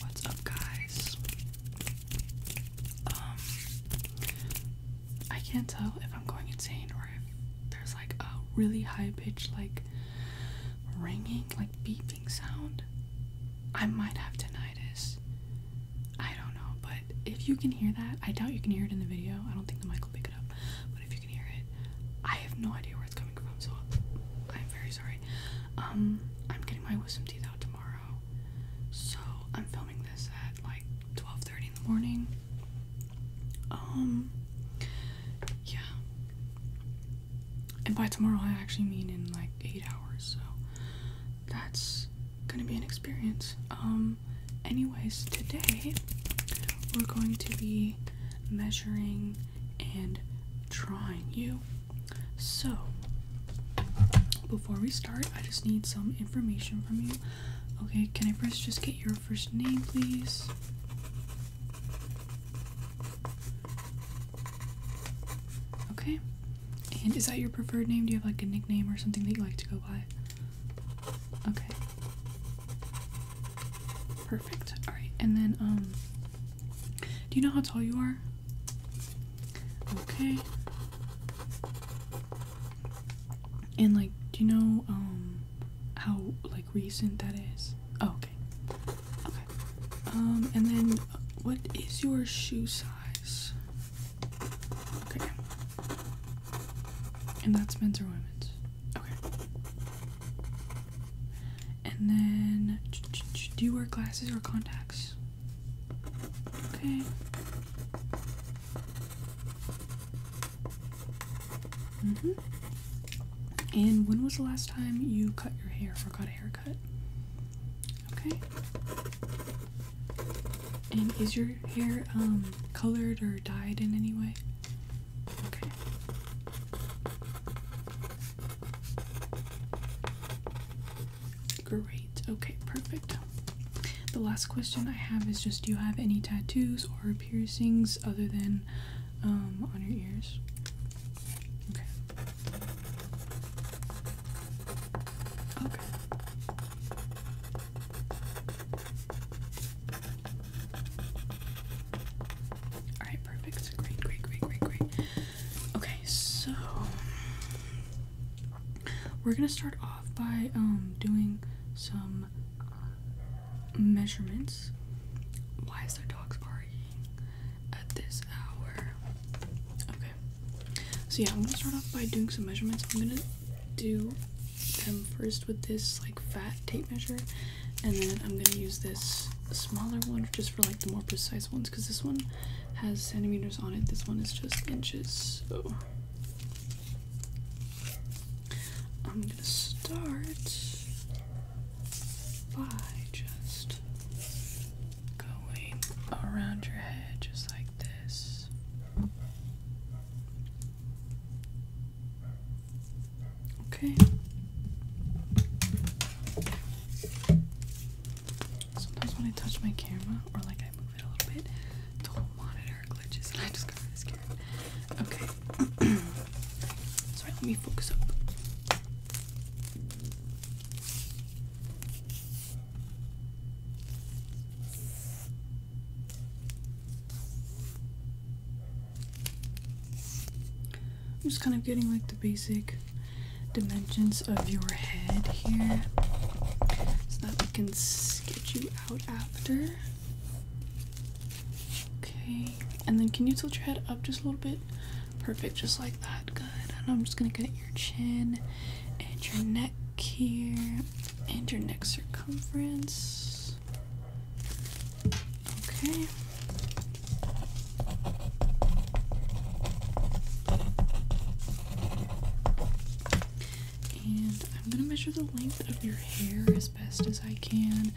What's up, guys? Um, I can't tell if I'm going insane or if there's like a really high pitch, like ringing, like beeping sound. I might have tinnitus. I don't know, but if you can hear that, I doubt you can hear it in the video. I don't think the mic will pick it up, but if you can hear it, I have no idea where it's coming from, so I'm very sorry. Um, I'm getting my wisdom teeth out tomorrow, so I'm filming this at like 12:30 in the morning. Um, yeah. And by tomorrow, I actually mean in like eight hours, so that's gonna be an experience. Um, anyways, today we're going to be measuring and trying you. So, before we start, I just need some information from you. Okay, can I first just get your first name, please? Okay. And is that your preferred name? Do you have like a nickname or something that you like to go by? Okay. Perfect. Alright, and then um do you know how tall you are? Okay. And like, do you know um how like recent that is? Oh, okay. Okay. Um and then what is your shoe size? Okay. And that's men's or women's. Okay. And then, do you wear glasses or contacts? Okay. hmm. And when was the last time you cut your hair or got a haircut? Okay. And is your hair um, colored or dyed in any way? Okay. Great. Okay, perfect. The last question I have is just do you have any tattoos or piercings other than um, on your ears? Okay. Okay. Alright, perfect. Great, great, great, great, great. Okay, so we're gonna start off by um, doing some uh, measurements. Why is there dogs barking at this hour? Okay. So yeah, I'm gonna start off by doing some measurements. I'm gonna do them first with this like fat tape measure and then I'm gonna use this smaller one just for like the more precise ones because this one has centimeters on it this one is just inches so I'm gonna start by just going around your head just like this. Okay. Sometimes when I touch my camera or like I move it a little bit, the whole monitor glitches and I just got scared. Okay. Sorry, let me focus up. I'm just kind of getting like the basic dimensions of your head here so that we can sketch you out after. Okay, and then can you tilt your head up just a little bit? Perfect, just like that. Good. And I'm just gonna get your chin and your neck here and your neck circumference. Okay. And I'm gonna measure the length of your hair as best as I can.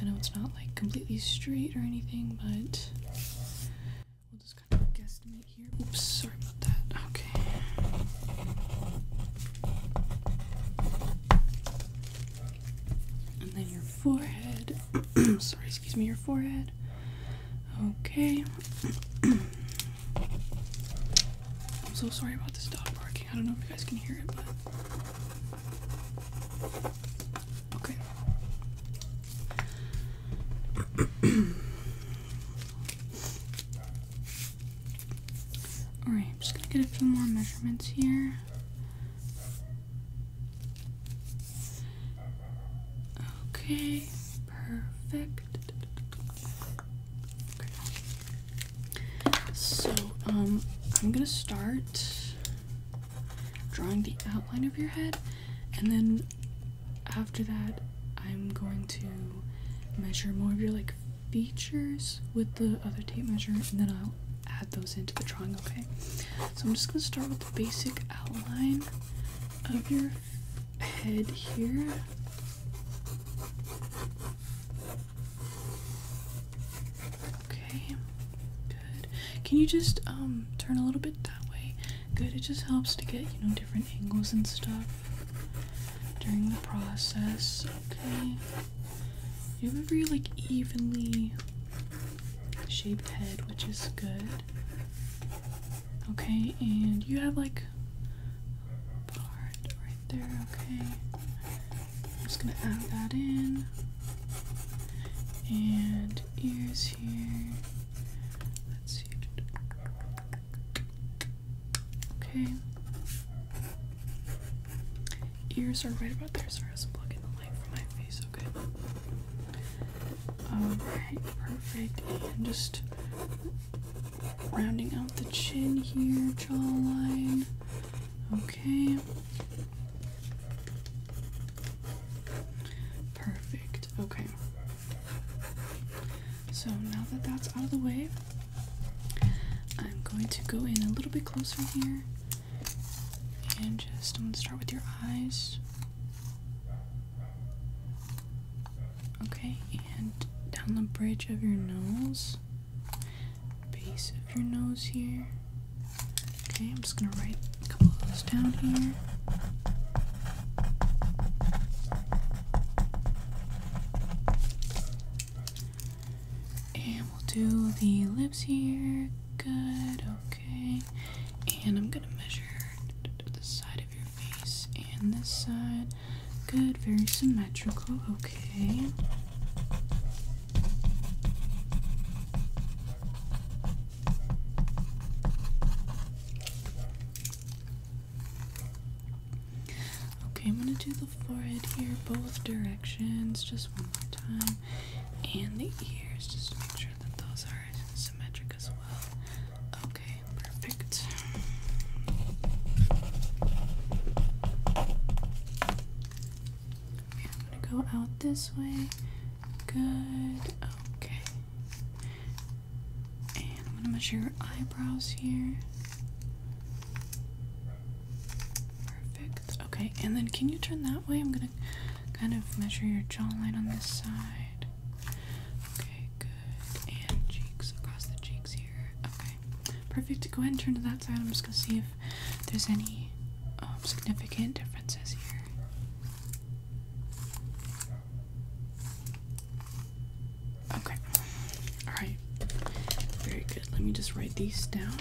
I know it's not like completely straight or anything, but we'll just kind of guesstimate here. Oops, sorry about that. Okay and then your forehead. Sorry, excuse me, your forehead. Okay. I'm so sorry about this dog barking. I don't know if you guys can hear it, but. Okay. Alright, I'm just gonna get a few more measurements here. Okay, perfect. So, um, I'm gonna start drawing the outline of your head, and then after that, I'm going to measure more of your like features with the other tape measure, and then I'll add those into the drawing, okay? So I'm just gonna start with the basic outline of your head here. Okay, good. Can you just um turn a little bit that way? Good, it just helps to get, you know, different angles and stuff during the process. Okay. You have very like evenly shaped head, which is good. Okay, and you have like part right there, okay. I'm just gonna add that in. And ears here. Let's see. Okay. Ears are right about there. Sorry, I was blocking the light from my face so Alright, perfect. And just rounding out the chin here, jawline. Okay. Perfect. Okay. So now that that's out of the way, I'm going to go in a little bit closer here and just, I'm gonna start with your eyes. Okay, and down the bridge of your nose, base of your nose here. Okay, I'm just gonna write a couple of those down here. And we'll do the lips here, Good, okay. And I'm gonna measure the side of your face and this side. Good, very symmetrical, okay. Okay, I'm gonna do the forehead here, both directions, just one more time and the ears just to make sure that those are symmetric as well. Okay, perfect. I'm gonna go out this way. Good. Okay. And I'm gonna measure your eyebrows here. Perfect. Okay, and then can you turn that way? I'm gonna kind of measure your jawline on this side. Okay, good. And cheeks across the cheeks here. Okay, perfect. Go ahead and turn to that side. I'm just gonna see if there's any um, significant differences here. Okay. Alright. Very good. Let me just write these down.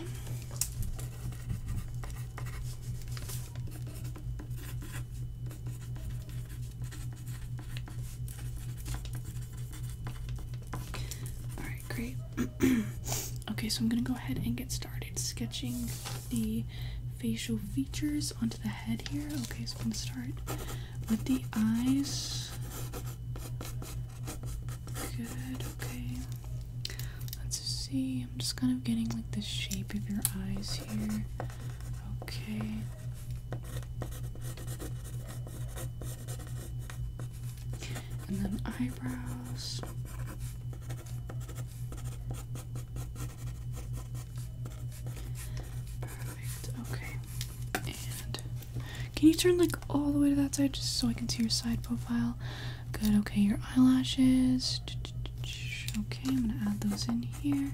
Alright, great. okay, so I'm gonna go ahead and get started sketching the facial features onto the head here. Okay, so we am start with the eyes. Good, okay. Let's see, I'm just kind of getting like the shape of your eyes here. Okay. And then eyebrows. Perfect. Okay. And can you turn like all the way to that side just so I can see your side profile? Good, okay, your eyelashes. Okay, I'm gonna add those in here.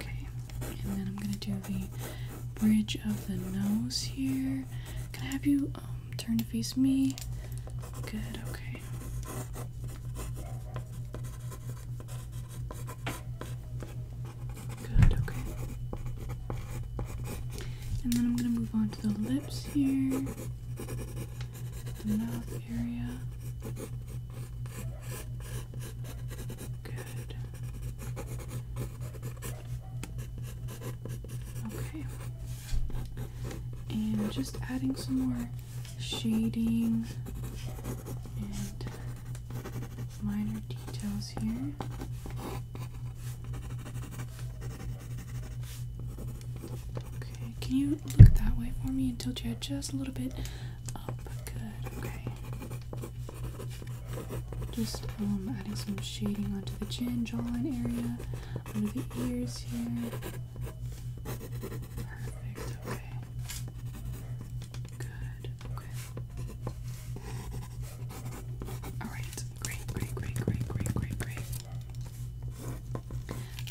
Okay, and then I'm gonna do the bridge of the nose here. Can I have you um, turn to face me? Good, okay. Good, okay. And then I'm gonna move on to the lips here, mouth area. Good. Okay. And just adding some more shading and minor details here. Okay, can you look that way for me until you your just a little bit up? Good, okay. Just um, adding some shading onto the chin, jawline area, under the ears here. Perfect, okay. Good, okay. Alright, great, great, great, great, great, great, great.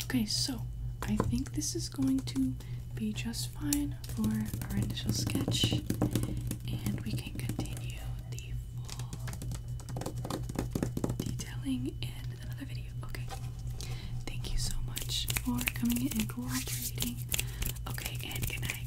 Okay, so I think this is going to be just fine for our initial sketch, and we can continue the detailing in another video. Okay, thank you so much for coming in and cooperating. Okay, and good night.